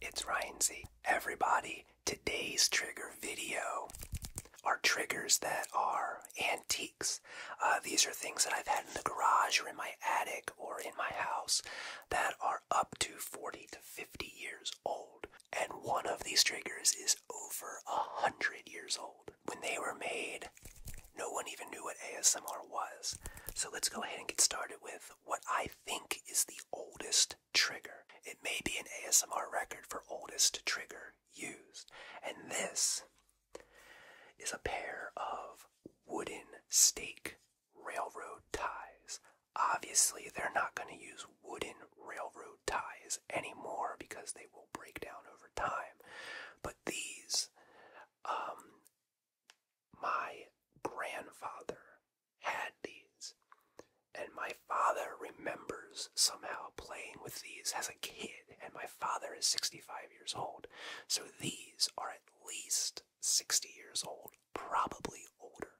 It's Ryan Z. Everybody, today's trigger video are triggers that are antiques. Uh, these are things that I've had in the garage or in my attic or in my house that are up to 40 to 50 years old. And one of these triggers is over 100 years old. When they were made, no one even knew what ASMR was. So let's go ahead and get started with what I think is the oldest trigger. It may be an ASMR record for oldest trigger used. And this is a pair of wooden stake railroad ties. Obviously, they're not going to use wooden railroad ties anymore because they will break down over time. But these um, my grandfather had these, and my father remembers somehow playing with these as a kid, and my father is 65 years old. So these are at least 60 years old, probably older.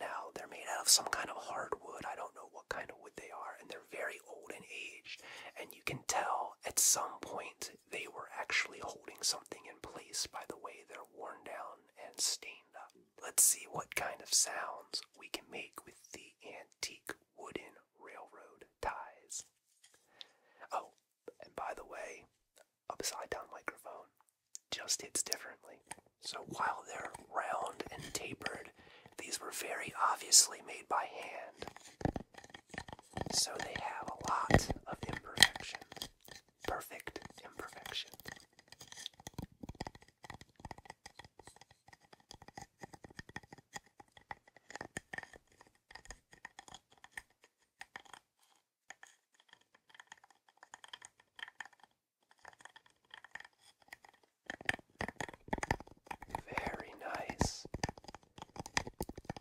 Now, they're made out of some kind of hardwood. I don't know what kind of wood they are, and they're very old and aged. And you can tell at some point they were actually holding something in place by the way they're worn down and stained up. Let's see what kind of sounds we can make with the antique wooden railroad ties. Oh, and by the way, upside down microphone just hits differently. So while they're round and tapered, these were very obviously made by hand. So they have a lot of imperfection perfect imperfection. Very nice.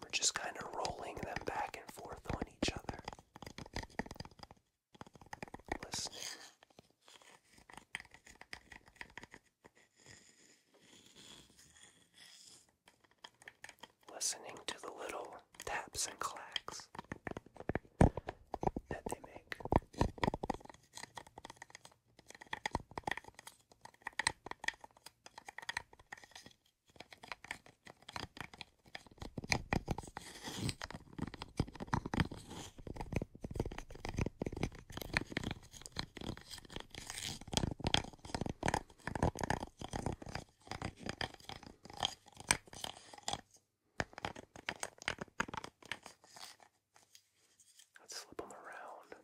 We're just kind of rolling them back and forth on each other listening. to the little taps and clacks that they make. Let's flip them around.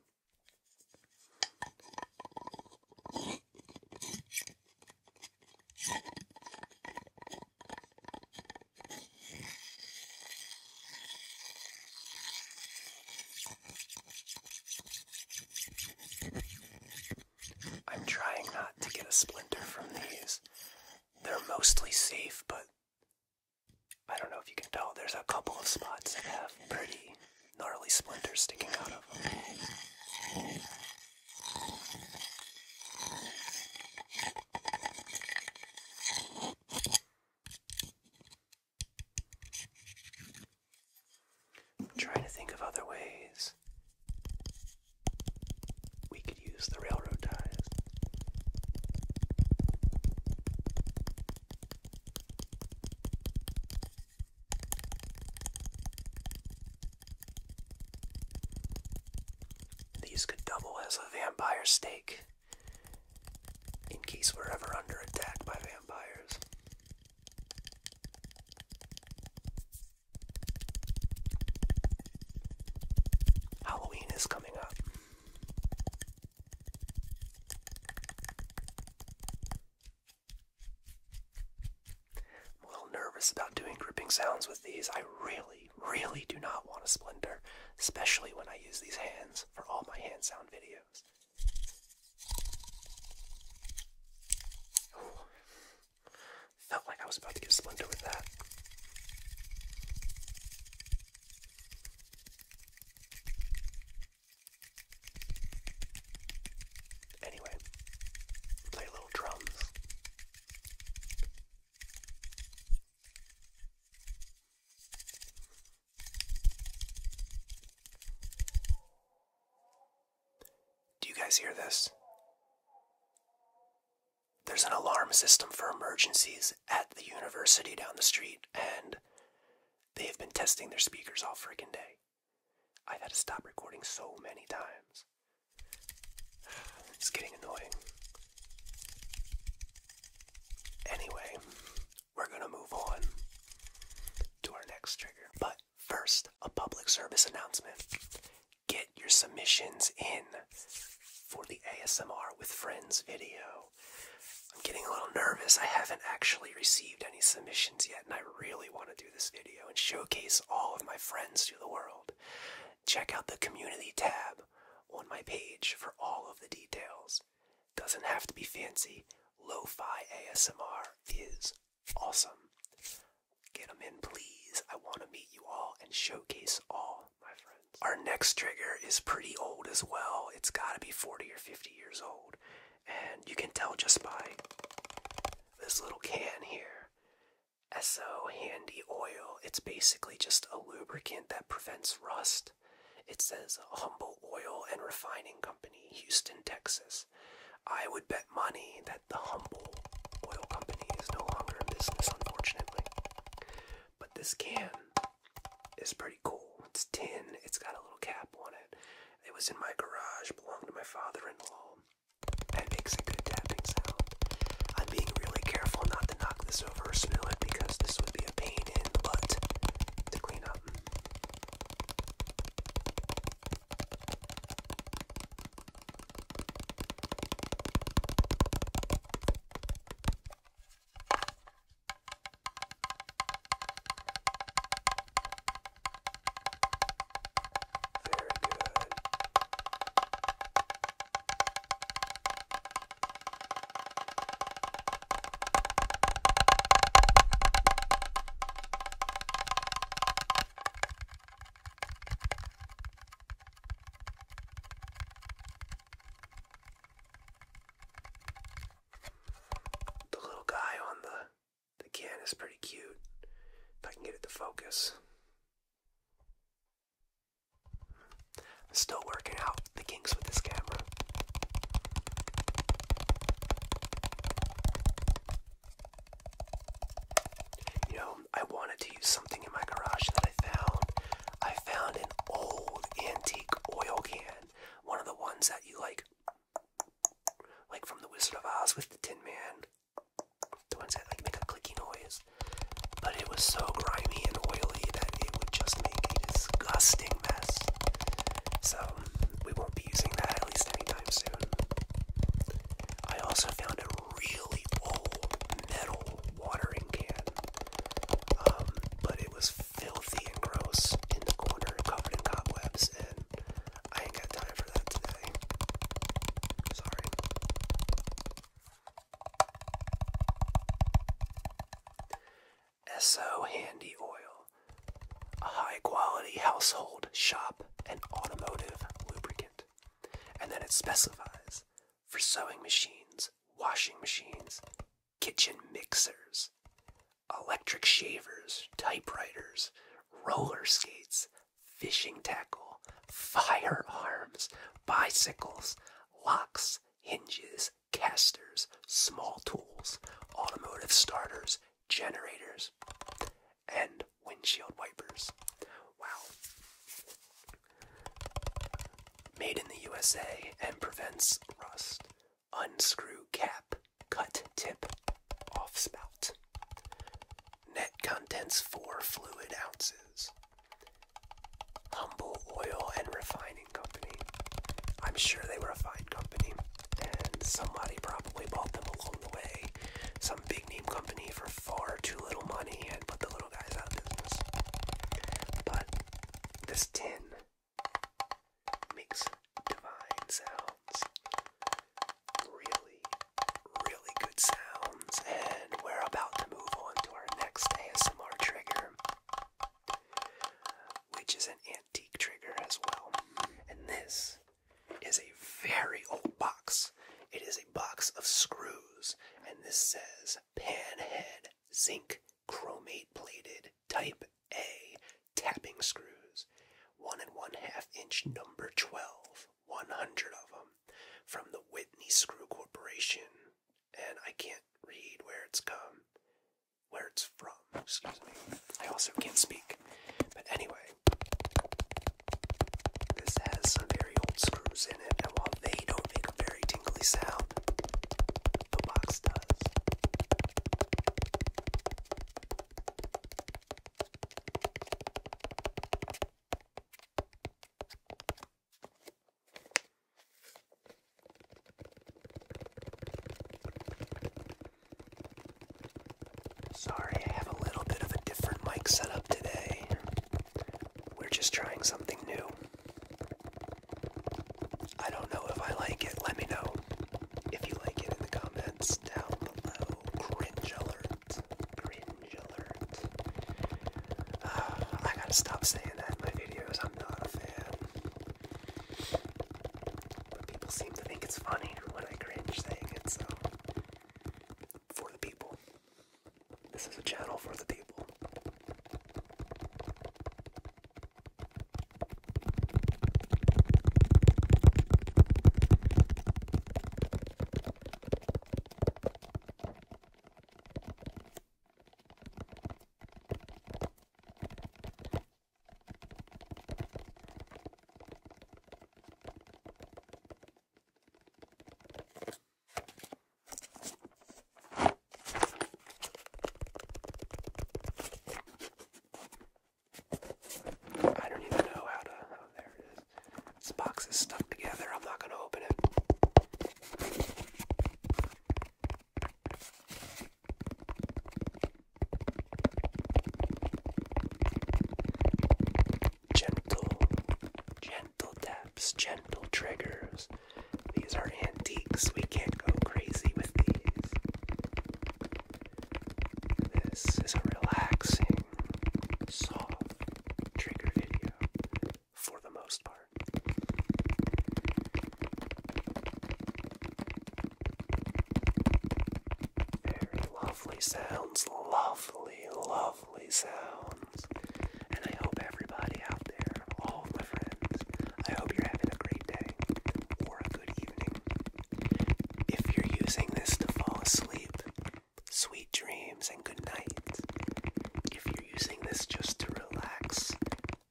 I'm trying not to get a splinter from these. They're mostly safe, but I don't know if you can tell, there's a couple of spots that have pretty gnarly splinters sticking out of them. Try to think of other ways we could use the railroad ties. These could double as a vampire stake in case we're ever under attack by vampires. Halloween is coming up. I'm a little nervous about doing gripping sounds with these. I really, really do not want to splinter, especially when I use these hands for all my hand sound videos. Felt like I was about to get splinter that. Anyway, play little drums. Do you guys hear this? There's an alarm system for emergencies at the university down the street, and they have been testing their speakers all friggin' day. I've had to stop recording so many times. It's getting annoying. Anyway, we're gonna move on to our next trigger. But first, a public service announcement. Get your submissions in for the ASMR with Friends video. I'm getting a little nervous. I haven't actually received any submissions yet, and I really want to do this video and showcase all of my friends to the world check out the community tab on my page for all of the details. Doesn't have to be fancy. Lo-fi ASMR is awesome. Get them in, please. I want to meet you all and showcase all my friends. Our next trigger is pretty old as well. It's got to be 40 or 50 years old. And you can tell just by this little can here. SO Handy Oil. It's basically just a lubricant that prevents rust. It says Humble Oil and Refining Company, Houston, Texas. I would bet money that the Humble Oil Company is no longer in business, unfortunately. But this can is pretty cool. It's tin, it's got a little cap on it. It was in my garage, belonged to my father in law. That makes a good tapping sound. I'm being really careful not to knock this over or spill it because this would be a pain in the butt to clean up. Very good. The little guy on the the can is pretty cute. If I can get it to focus still working out the kinks with this camera. You know, I wanted to use something in my garage that I found. I found an old antique oil can, one of the ones that you like, like from The Wizard of Oz with the Tin Man the ones that like make a clicky noise. But it was so grimy and oily that it would just make a disgusting mess. So we won't be using that at least anytime soon. I also found a really old metal watering can, um, but it was filthy and gross in the corner, covered in cobwebs, and I ain't got time for that today. SO Handy Oil. A high quality household, shop, and automotive lubricant. And then it specifies for sewing machines, washing machines, kitchen mixers, electric shavers, typewriters, roller skates, fishing tackle, firearms, bicycles, locks, hinges, casters, small tools, automotive starters, generators, and windshield wipers. Wow. Made in the USA and prevents rust. Unscrew cap, cut tip, off spout. Net contents 4 fluid ounces. Humble Oil and Refining Company. I'm sure they were a fine company, and somebody probably bought them along the way. Some big name company for far too little money and put the little guys out of business. But this tin makes divine sounds really, really good sounds, and we're about to move on to our next ASMR trigger, which is an antique trigger as well. And this is a very old box. It is a box of screws, and this says head, Zinc Chromate Plated Type A Tapping Screws, one and one half inch number 12, 100 of them from the Whitney Screw Corporation, and I can't read where it's come, where it's from. Excuse me. I also can't speak. But anyway, this has some very old screws in it, and while they don't make a very tingly sound, the box does. Sorry, I have a little bit of a different mic setup today. We're just trying something new. I don't know if I like it. Let me know if you like it in the comments down below. Cringe alert, alert. Ah, I gotta stop saying that in my videos. I'm not a fan. But people seem to think it's funny when I cringe saying it, so for the people. This is a channel for the people. I don't even know how to. Oh, there it this box is stuck together. I'm not going to open it. Gentle, gentle taps, gentle triggers. These are antiques. We can't go crazy with these. This is a relaxing, soft trigger video for the most part. Very lovely sounds, lovely, lovely sounds. And I hope everybody out there, all of my friends, I hope you're having a great day or a good evening. If you're using this to fall asleep, sweet dreams and good night. If you're using this just to relax,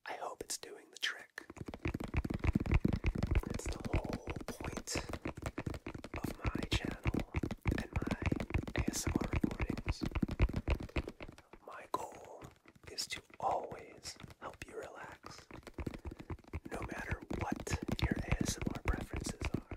I hope it's doing the trick. That's the whole point of my channel and my ASMR recordings. My goal is to always help you relax, no matter what your ASMR preferences are.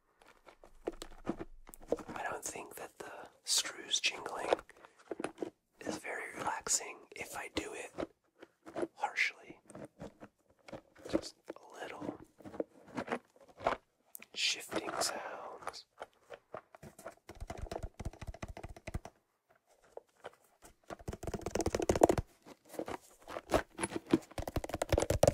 I don't think that the screws jingling is very relaxing if I do it harshly. Just a little shifting sounds.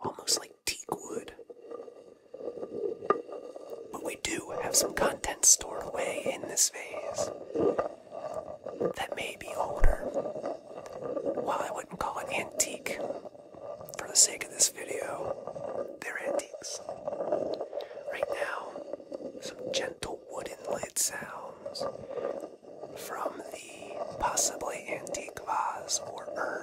almost like teak wood. But we do have some content stored away in this vase that may be older. While I wouldn't call it antique, for the sake of this video, they're antiques. Right now, some gentle wooden lid sounds from the possibly antique vase or urn.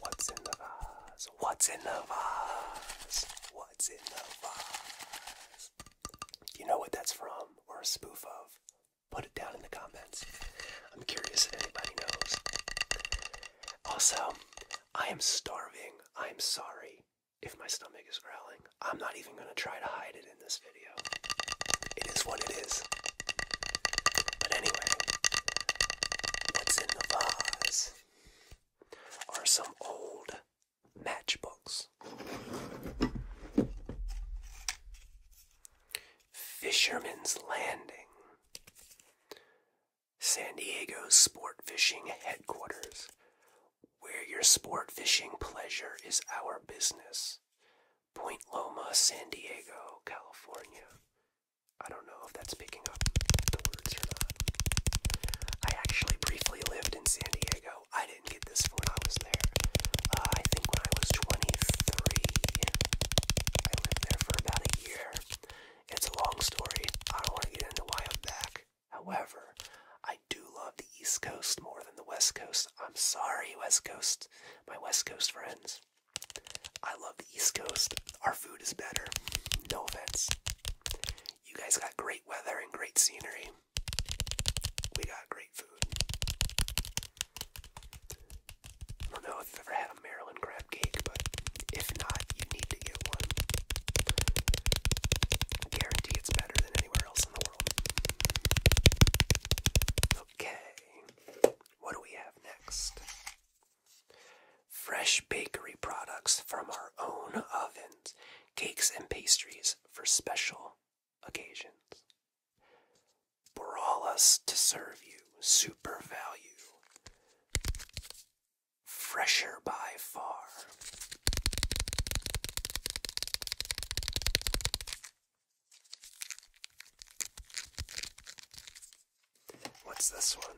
What's in the vase? What's in the vase? What's in the vase? You know what that's from or a spoof of? Put it down in the comments. I'm curious if anybody knows. Also, I am starving. I'm sorry if my stomach is growling. I'm not even going to try to hide it in this video. It is what it is. But anyway, what's in the vase are some old matchbooks. Fisherman's Landing, San Diego's sport fishing headquarters, where your sport fishing pleasure is our business. Point Loma, San Diego, California. I don't know if that's picking up the words or not. I actually briefly lived in San Diego. I didn't get this when I was there. Uh, I think when I was 23, I lived there for about a year. It's a long story. I don't want to get into why I'm back. However, I do love the East Coast more than the West Coast. I'm sorry, West Coast my West Coast friends. I love the East Coast. Our food is better. No offense. You guys got great weather and great scenery. We got great food. don't know if you've ever had a Maryland crab cake, but if not, you need to get one. guarantee it's better than anywhere else in the world. Okay what do we have next? Fresh bakery products from our own ovens, cakes and pastries for special occasions. For all us to serve you, super value. Fresher by far. What's this one?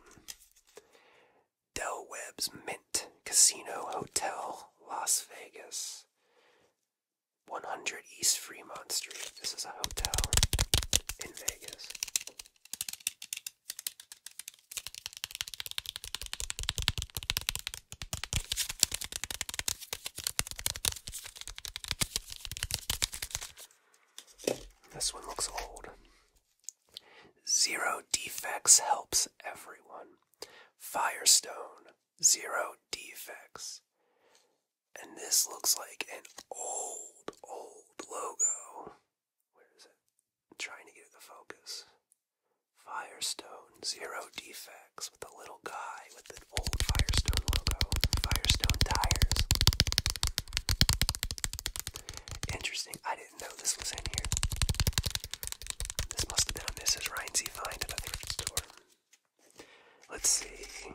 Del Webb's Mint Casino Hotel, Las Vegas. 100 East Fremont Street. This is a hotel in Vegas. This one looks old. Zero defects helps everyone. Firestone, zero defects. And this looks like an old, old logo. Where is it? trying to get the focus. Firestone, zero defects with a little guy with an old Firestone logo, Firestone tires. Interesting. I didn't know this was in here. This must have been a Mrs. Reinsey find at a thrift store. Let's see.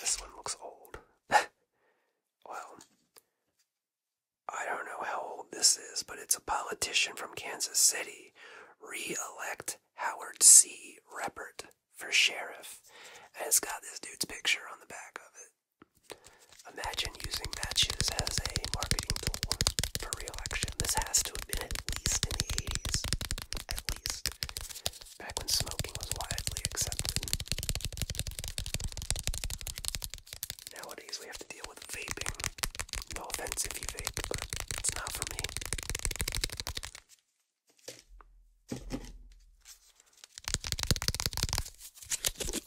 This one looks old. well, I don't know how old this is, but it's a politician from Kansas City. Re elect Howard C. Reppert for sheriff, and it's got this dude's picture on the back of it. Imagine using matches as a marketing tool for re-election. This has to have been at least in the 80s. At least. Back when smoking was widely accepted. Nowadays we have to deal with vaping. No offense if you vape, but it's not for me.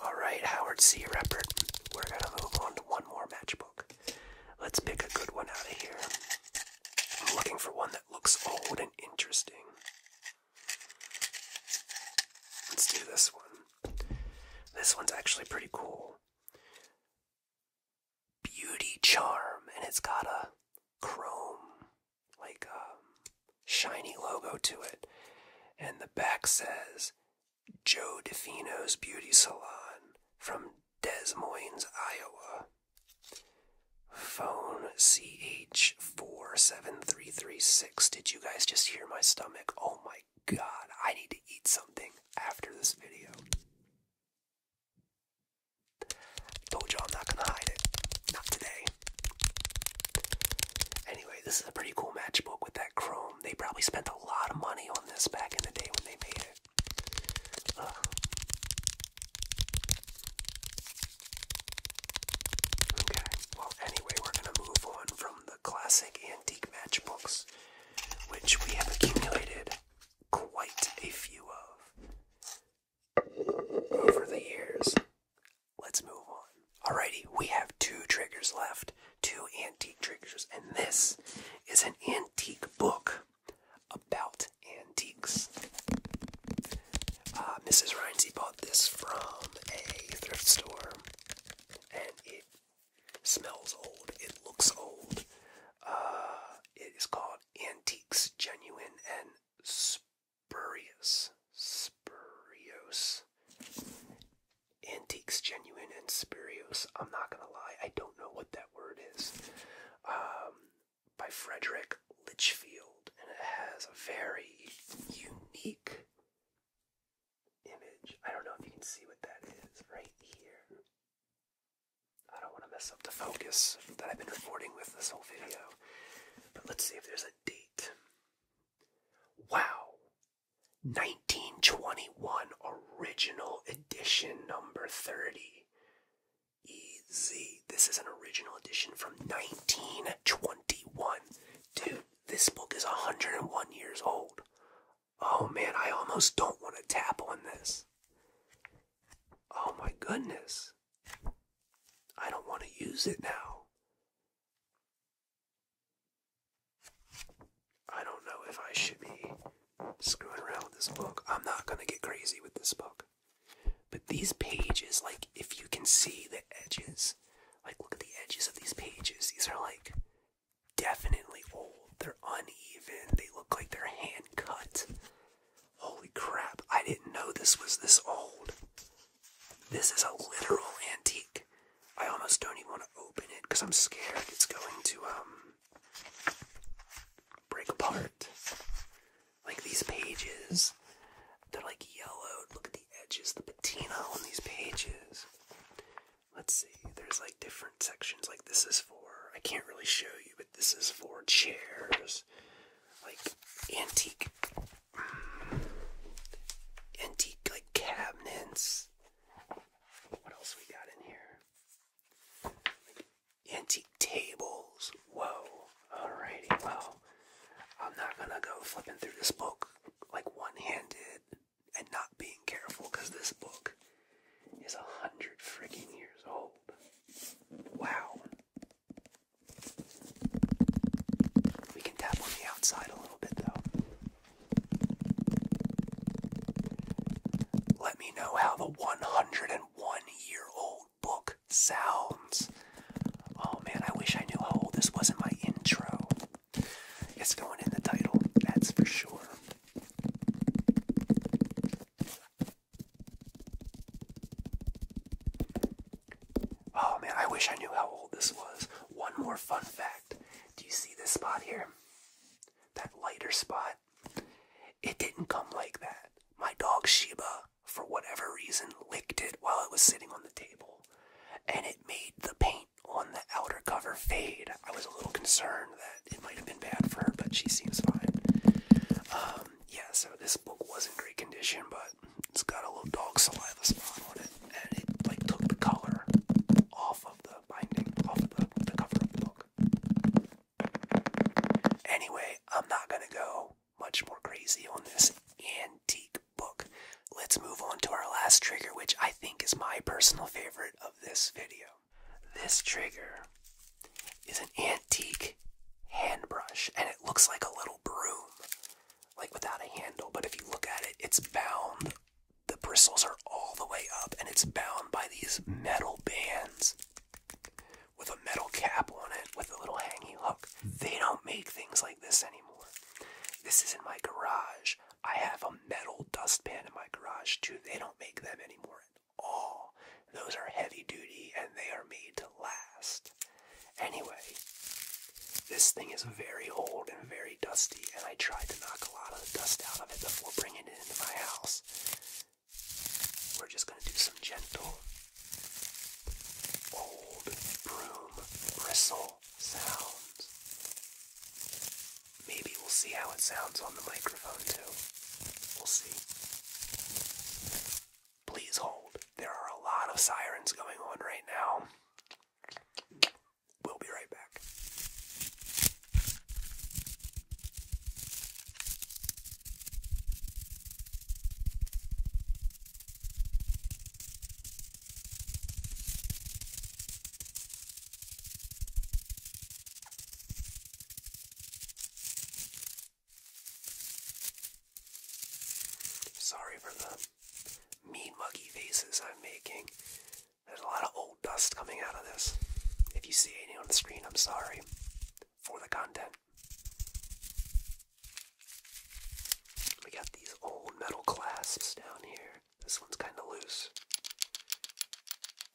Alright, Howard C. Reppert. We're going to move on to one more matchbook. Let's pick a good one out of here. I'm looking for one that looks old and interesting. Let's do this one. This one's actually pretty cool beauty charm, and it's got a chrome, like um, shiny logo to it. And the back says Joe DeFino's Beauty Salon from Des Moines, Iowa. Phone ch seven three three six. Did you guys just hear my stomach? Oh my god, I need to eat something after this video. I told you I'm not gonna hide it. Not today. Anyway, this is a pretty cool matchbook with that chrome. They probably spent a lot of money on this back in the day when they made it. Okay, well, anyway, we're gonna move on from the classic antique matchbooks, which we have accumulated quite a few of over the years. Let's move on. Alrighty, we have two triggers left, two antique triggers, and this is an antique book about antiques. Uh, Mrs. Rhinesy bought this from a thrift store, and it smells old. It looks old. Uh, it is called antiques, genuine, and spurious. Spurious. Antiques, genuine, and spurious. I'm not gonna lie, I don't know what that word is. Um, by Frederick Litchfield, and it has a very unique image. I don't know if you can see what that is right here. I don't want to mess up the focus that I've been recording with this whole video. But let's see if there's a date. Wow! 1921 original edition number 30. Easy. This is an original edition from 1921. Dude, this book is 101 years old. Oh man, I almost don't want to tap on this. Oh my goodness. I don't want to use it now. I don't know if I should be screwing around with this book. I'm not going to get crazy with this book. But these pages, like, if you can see the edges, like, look at the edges of these pages. These are, like, definitely old. They're uneven. They look like they're hand cut. Holy crap, I didn't know this was this old. This is a literal antique. I almost don't even want to open it because I'm scared it's going to um break apart. Like these pages, that are like yellowed. Look at the edges, the patina on these pages. Let's see, there's like different sections. Like this is for, I can't really show you but this is for chairs, like antique, mm, antique like cabinets. What else we got in here? antique tables. Whoa. All righty. Well, I'm not gonna go flipping through this book like one-handed and not being careful because this book is a hundred freaking years old. Wow. We can tap on the outside a little bit though. Let me know how the 101 year old book sounds. Oh man, I wish I knew how this was in my intro. It's going in the title, that's for sure. Oh man, I wish I knew how old this was. One more fun fact. Do you see this spot here? That lighter spot? It didn't come like that. My dog Sheba, for whatever reason, licked it while it was sitting on the table. And it made the paint on the outer cover fade. I was a little concerned that it might have been bad for her, but she seems fine. Um, yeah, so this book was in great condition, but it's got a little dog saliva spot on it, and it like took the color off of the binding, off of the cover of the book. Anyway, I'm not gonna go much more crazy on this antique book. Let's move on to our last trigger, which I think is my personal favorite of this video. This trigger is an antique hand brush and it looks like a little broom, like without a handle. But if you look at it, it's bound, the bristles are all the way up and it's bound by these metal bands with a metal cap on it with a little hanging hook. They don't make things like this anymore. This is in my garage. I have a metal dustpan in my garage too. They don't make them anymore all. Those are heavy duty and they are made to last. Anyway, this thing is very old and very dusty, and I tried to knock a lot of the dust out of it before bringing it into my house. We're just going to do some gentle old broom bristle sounds. Maybe we'll see how it sounds on the microphone, too. We'll see. Please hold. There are a lot of sirens going on right now. We'll be right back. Sorry for the mean muggy faces I'm making. There's a lot of old dust coming out of this. If you see any on the screen, I'm sorry for the content. We got these old metal clasps down here. This one's kind of loose.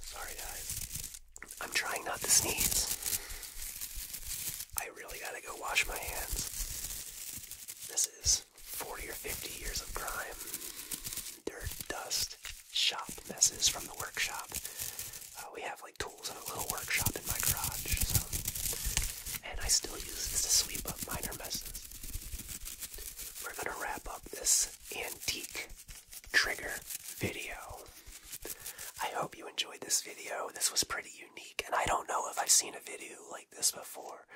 Sorry, guys. I'm trying not to sneeze. I really gotta go wash my hands. This is 40 or 50 years of crime, dirt, dust, shop messes from the workshop. Uh, we have like tools in a little workshop in my garage, so. And I still use this to sweep up minor messes we're gonna wrap up this antique trigger video. I hope you enjoyed this video. This was pretty unique, and I don't know if I've seen a video like this before.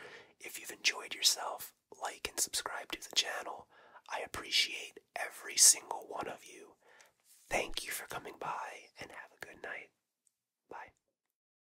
If you've enjoyed yourself, like and subscribe to the channel. I appreciate every single one of you. Thank you for coming by, and have a good night. Bye.